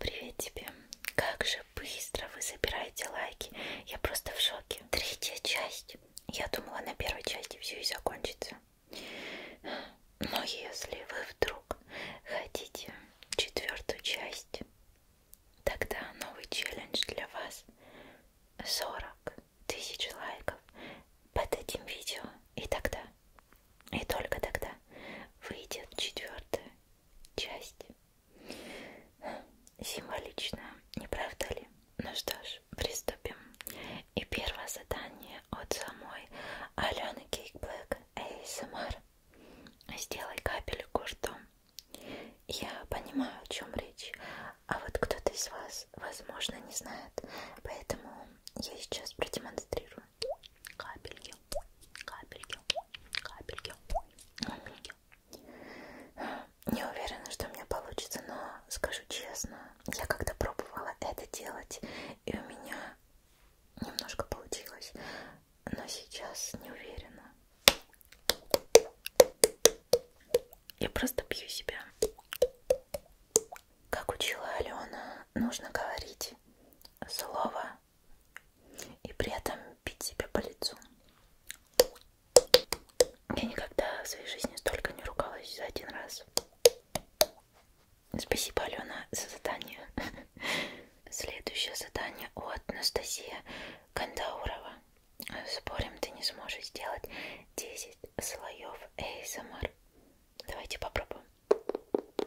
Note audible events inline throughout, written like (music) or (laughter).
Привет тебе! Как же быстро вы собираете лайки! Я просто в шоке. Третья часть. Я думала, на первой части все и закончится. Но если вы вдруг хотите четвертую часть, тогда новый челлендж для вас. 40 тысяч лайков под этим видео. И тогда, и только тогда выйдет четвертая часть. Символично, не правда ли? Ну что ж, приступим. И первое задание от самой Алены Кейкблэк ASMR. Сделай капельку ртом. Я понимаю, о чем речь, а вот кто-то из вас, возможно, не знает, поэтому я сейчас продемонстрирую капельки, капельки, капельки, капельки. Не уверена, что у меня получится, но скажу честно, я когда пробовала это делать, и у меня немножко получилось, но сейчас не уверена. Я просто пью себя. Как учила Алена, нужно говорить слово и при этом бить себя по лицу. Я никогда в своей жизни столько не ругалась за один раз. Спасибо, Алена, за задание. (laughs) Следующее задание от Анастасия Кандаурова. Спорим, ты не сможешь сделать 10 слоев ASMR. Давайте попробуем.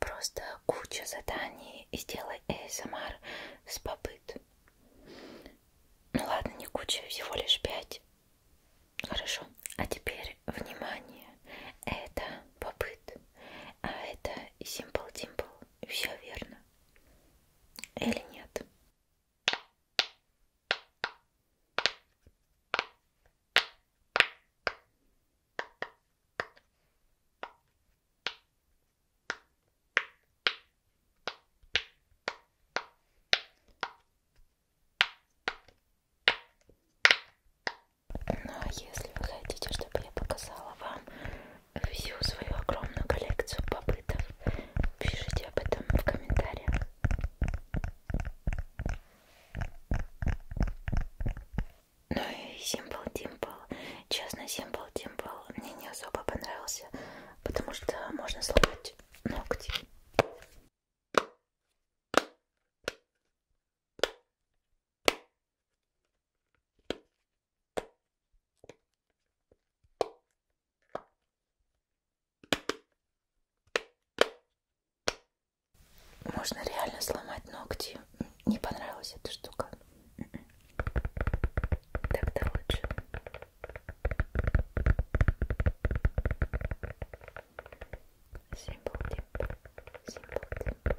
Просто куча заданий и сделай ASMR с попыт. Ну ладно, не куча, всего лишь пять. Хорошо. А теперь внимание. Это попыт. А это Simple Dimple. Все верно. Или нет? Но если вы хотите, чтобы я показала вам всю свою огромную коллекцию попытов, пишите об этом в комментариях. Ну и Simple Dimple. Честно, Simple Dimple мне не особо понравился, потому что можно сломать ногти. Можно реально сломать ногти. Не понравилась эта штука. М-м-м. Тогда лучше. Симпл тип. Симпл тип.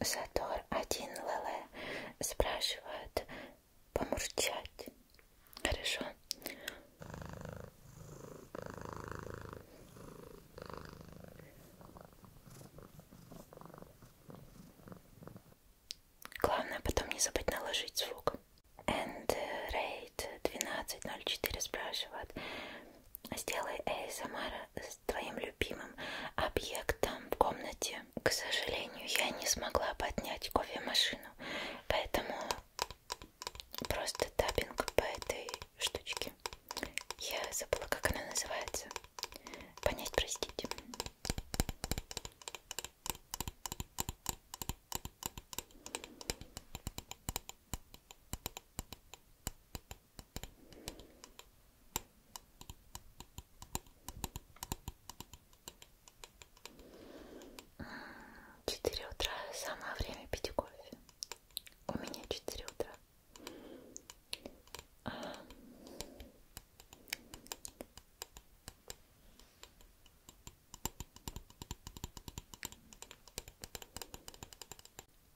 Задор один Леле спрашивает помурчать. Хорошо. Главное потом не забыть наложить звук. And rate 12.04 спрашивает. Сделай ASMR с твоим любимым объектом в комнате. К сожалению, я не смогла поднять кофемашину, поэтому просто таппинг по этой штучке. Я забыла, как она называется. Понять, простите. Четыре утра самое время пить кофе. У меня четыре утра. А,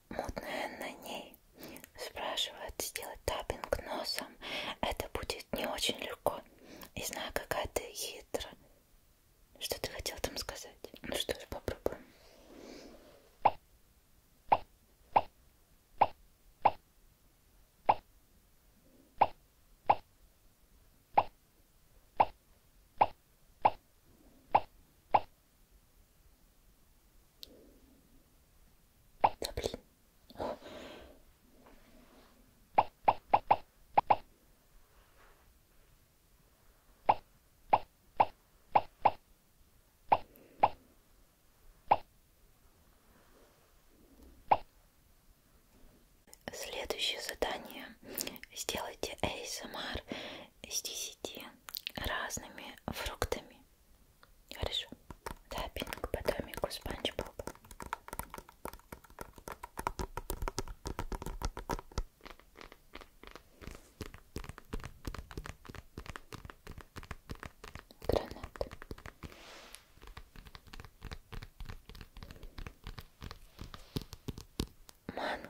мутная на ней Спрашивает сделать таппинг носом. Это будет не очень легко. И знаю, какая ты хитра. Что ты хотел там сказать? Ну что ж, попробуем. Да блин. Следующее задание. Сделайте ASMR с 10 разными фруктами. Хорошо. Да, пинг по домику Спанч Боб. Гранат. Манго.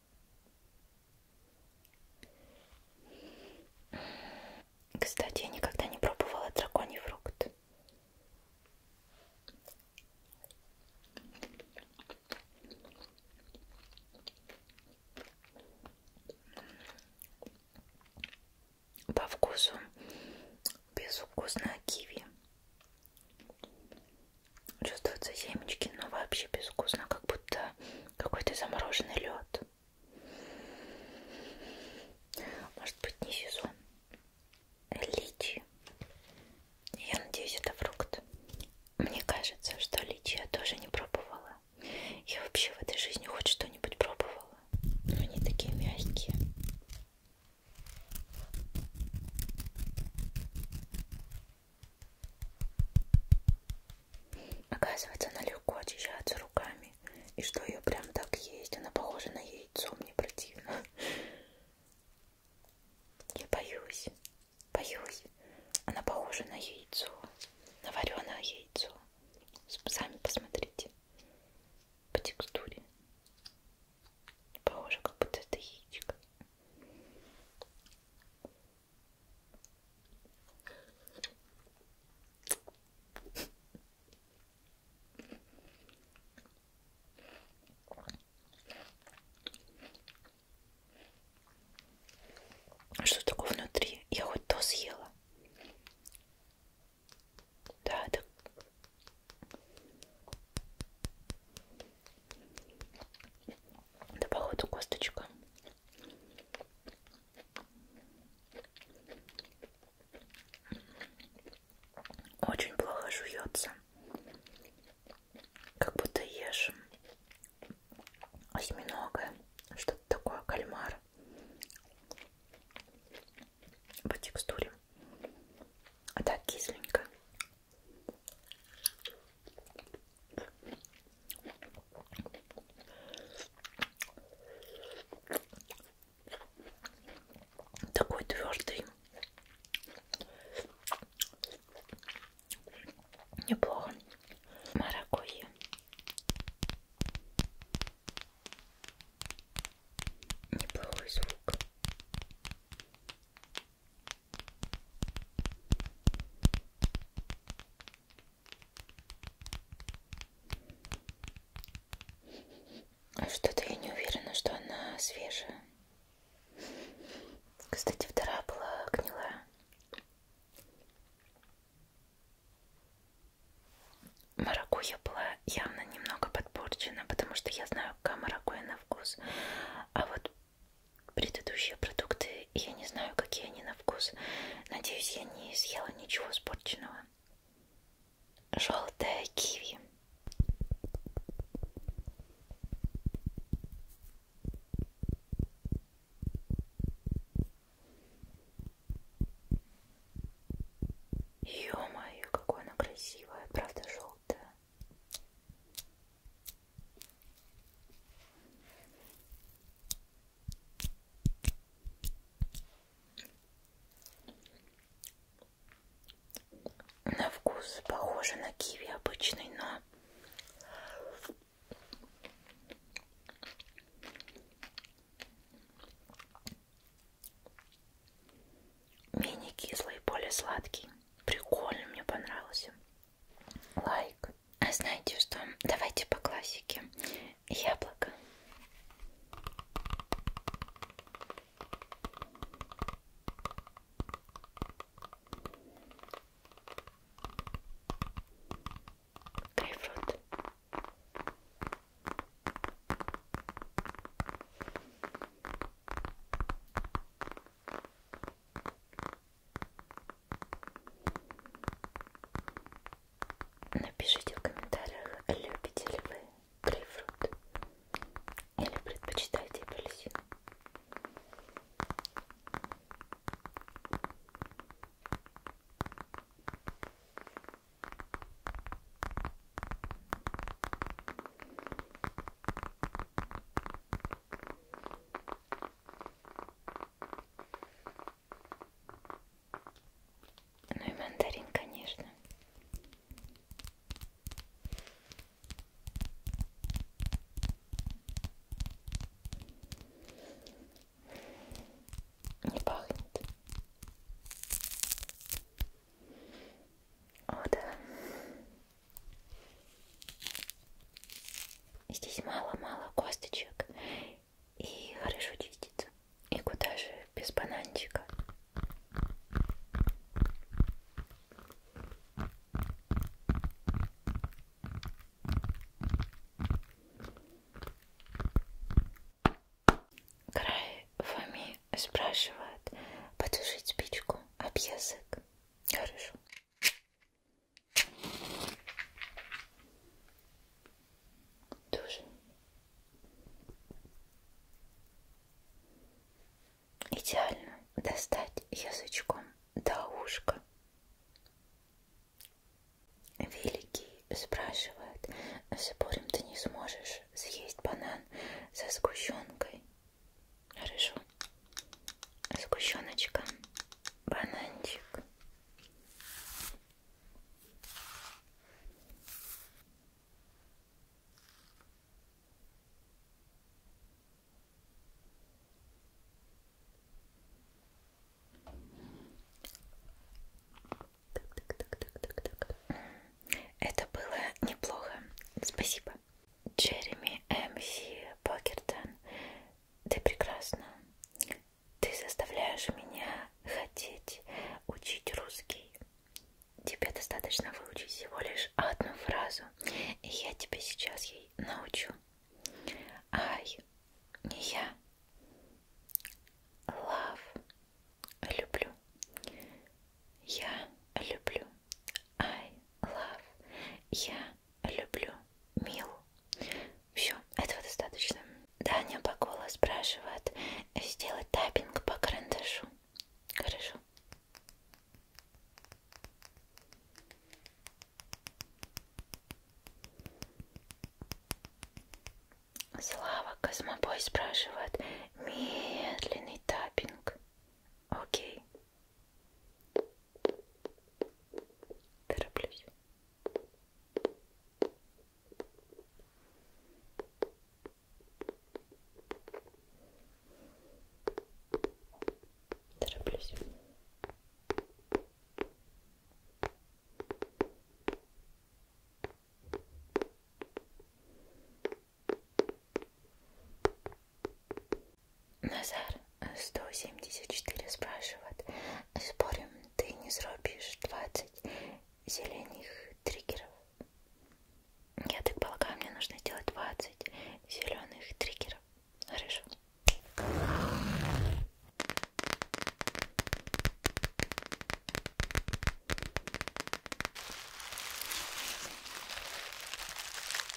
Кстати, я никогда не пробовала драконий фрукт. По вкусу безвкусное киви. Чувствуются семечки, но вообще безвкусно, как будто какой-то замороженный лед. Может быть, не сезон. Личи. Я надеюсь, это фрукт. Мне кажется, что личи я тоже не пробовала. Я вообще в этой жизни хоть что-нибудь пробовала. Но они такие мягкие. Оказывается, она легко очищается руками. И что ее прям так есть? Она похожа на яйцо, мне противно. Я боюсь. Боюсь. Она похожа на яйцо. На вареное яйцо. Сами посмотрите. По текстуре. Похоже, как будто это яичко. Что такое внутри? Я хоть то съела. Да, это да, походу, косточка. Очень плохо жуется. Как будто ешь осьминога, что-то такое, кальмар по текстуре. А так кисленько. Такой твердый. Неплохо. Маракуйя. Неплохой звук. А что-то я не уверена, что она свежая. Кстати, вторая была гнилая. Маракуя была явно немного подпорчена, потому что я знаю, какая маракуя на вкус. А вот предыдущие продукты, и я не знаю, какие они на вкус. Надеюсь, я не съела ничего испорченного. Желтая киви. Ё-моё, какое она красивая, правда желтая. На вкус похоже на киви обычный, но менее кислый, более сладкий. Прикольно, мне понравился лайк. А знаете что? Давайте по классике. Яблоко. Грейпфрут. Напишите в комментариях, любите ли вы грейпфрут или предпочитаете апельсин. Ну и мандарин, конечно. Не пахнет. О, да. Здесь мало-мало косточек и хорошо чистится. И куда же без бананчика? Край Фоми спрашивает потушить спичку а об язык. Хорошо. Дуже. Идеально достать язычком до ушка. Великий спрашивает, «А с ты не сможешь съесть банан со сгущенкой? Хорошо. Сгущеночка. Бананчик. Так, так, так, так, так, так. Это было неплохо. Спасибо. Джереми М.С. Покертон, ты прекрасна. Ты заставляешь меня хотеть учить русский. Тебе достаточно выучить всего лишь одну фразу, и я тебя сейчас ей научу. Ай, я love, люблю. Я люблю. I love. Я люблю Милу. Все, этого достаточно. Даня Бакула спрашивает сделать таппинг по карандашу. Хорошо. Слава Космобой спрашивает медленный таппинг. Окей. Тороплюсь. Тороплюсь. Тороплюсь. Назар 174 спрашивает. Спорим, ти не зробиш 20 зеленых триггеров? Я так полагаю, мне нужно сделать 20 зеленых триггеров. Хорошо.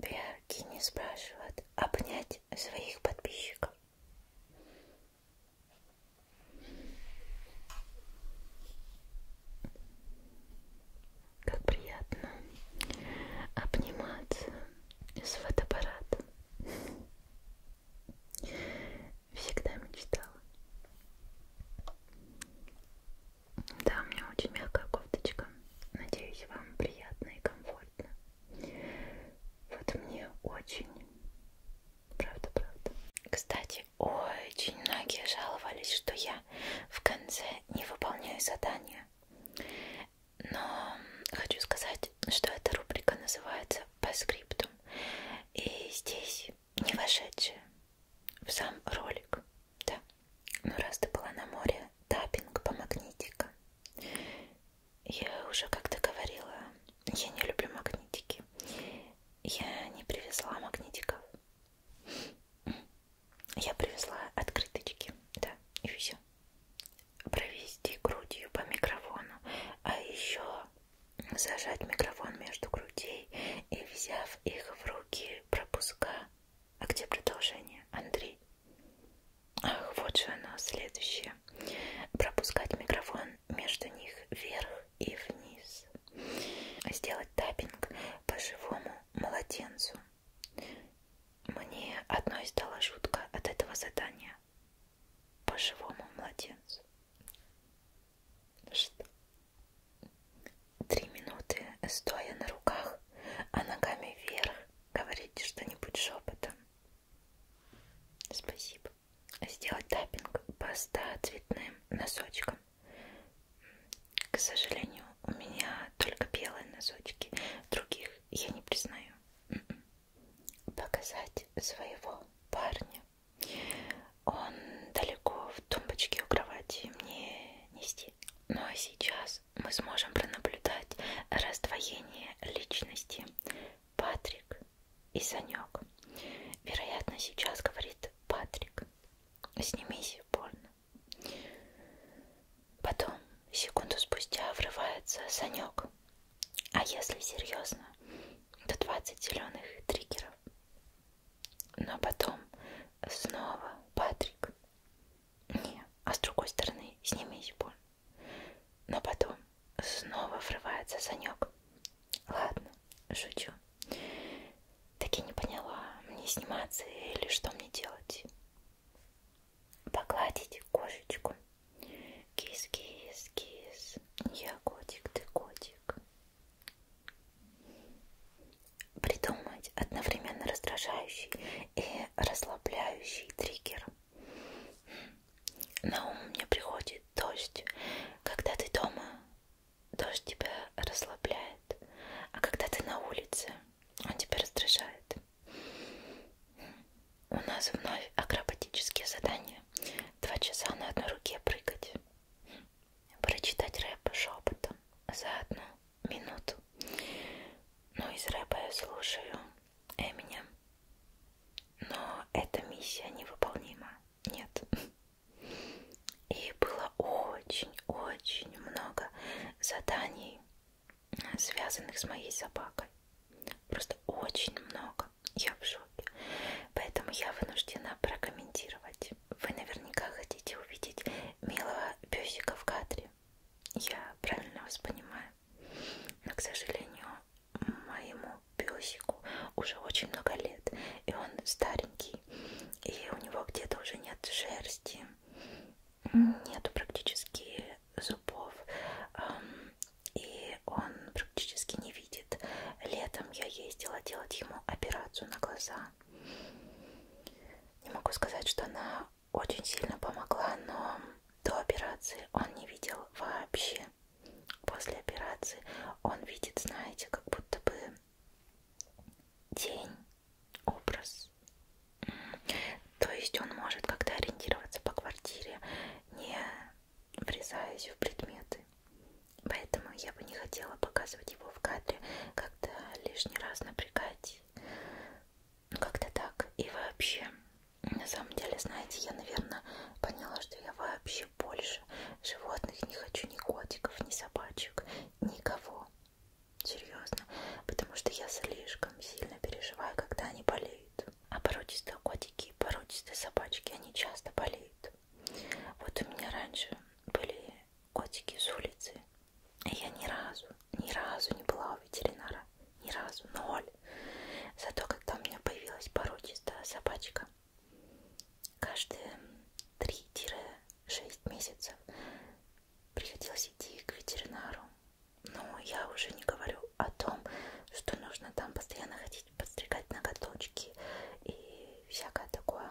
Биаркини спрашивает а обнять своих подписчиков. Как приятно обниматься с фотоаппаратом. Всегда мечтала. Да, у меня очень мягкая кофточка. Надеюсь, вам приятно и комфортно. Вот мне очень. Правда, правда. Кстати, очень многие жаловались, что я в конце не выполняю задания. Но хочу сказать, что эта рубрика называется по скриптум. И здесь не вошедшие в сам ролик. Да. Ну, раз ты была на море, таппинг по магнитикам. Я уже как-то говорила, я не люблю магнитики. Я не привезла магнитиков. Я привезла открыточки, да, и все. Провести грудью по микрофону, а еще зажать микрофон между грудей и, взяв их в руки, пропуска а где продолжение, Андрей? Ах, вот же оно, следующее. Пропускать микрофон между них вверх и вниз. Сделать таппинг по живому младенцу. Мне одной стала жутко от этого задания. По живому младенцу. Что? три минуты стоя на руках, а ногами вверх говорите что-нибудь шепотом. Спасибо. Сделать таппинг по 100 цветным носочкам. К сожалению, у меня только белые носочки, других я не признаю. М-м. Показать своего парня. Он далеко в тумбочке у кровати мне нести. Ну а сейчас нас мы сможем пронаблюдать раздвоение личности Патрик и Санек. Вероятно, сейчас говорит Патрик, снимись больно. Потом, секунду спустя, врывается Санек. А если серьезно, то 20 зеленых триггеров. Но потом снова Патрик. Не, а с другой стороны, снимись боль. Но потом снова врывается Санек. Ладно, шучу. Так я не поняла, мне сниматься или что мне делать? Погладить кошечку. Кис-кис-кис. Я котик, ты котик придумать одновременно раздражающий и расслабляющий триггер. На ум мне приходит дождь. Когда ты дома, дождь тебя расслабляет, а когда ты на улице, он тебя раздражает. У нас вновь акробатические задания. Два часа на одной руке прыгать. Прочитать рэп шепотом заодно минут. Ну, из рэпа я слушаю Эминем. Но эта миссия невыполнима. Нет. И было очень-очень много заданий, связанных с моей собакой. Просто очень много. Я в шоке. Поэтому я вынуждена прокомментировать. Вы наверняка хотите увидеть милого песика в кадре. Я правильно вас понимаю. Но, к сожалению, моему песику уже очень много лет. И он старенький. И у него где-то уже нет шерсти. Нету практически зубов. И он практически не видит. Летом я ездила делать ему операцию на глаза. Не могу сказать, что она очень сильно помогла, но до операции он не видел вообще. После операции он видит, знаете, как будто бы день, образ. То есть он может как-то ориентироваться по квартире, не врезаясь в предметы. Поэтому я бы не хотела показывать его в кадре, как-то лишний раз напрягать как-то так. И вообще, на самом деле, знаете, я, наверное, поняла, что я вообще больше животных не хочу, ни котиков, ни собачек, никого. Серьезно. Потому что я слишком сильно переживаю, когда они болеют. А породистые котики и породистые собачки, они часто болеют. Вот у меня раньше были котики с улицы. И я ни разу, ни разу не была у ветеринара. Ни разу, ноль. Зато когда у меня появилась породистая собачка, каждые 3-6 месяцев приходилось идти к ветеринару. Но я уже не говорю о том, что нужно там постоянно ходить, подстригать ноготочки и всякое такое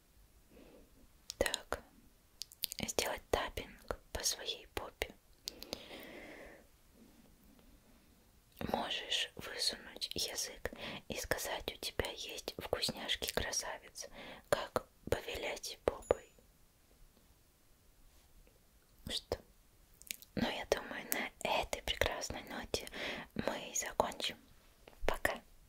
Так, сделать таппинг по своей попе. Можешь высунуть язык и сказать, у тебя есть вкусняшки красавец, как повелять попой. Что? Ну, я думаю, на этой прекрасной ноте мы закончим. Пока.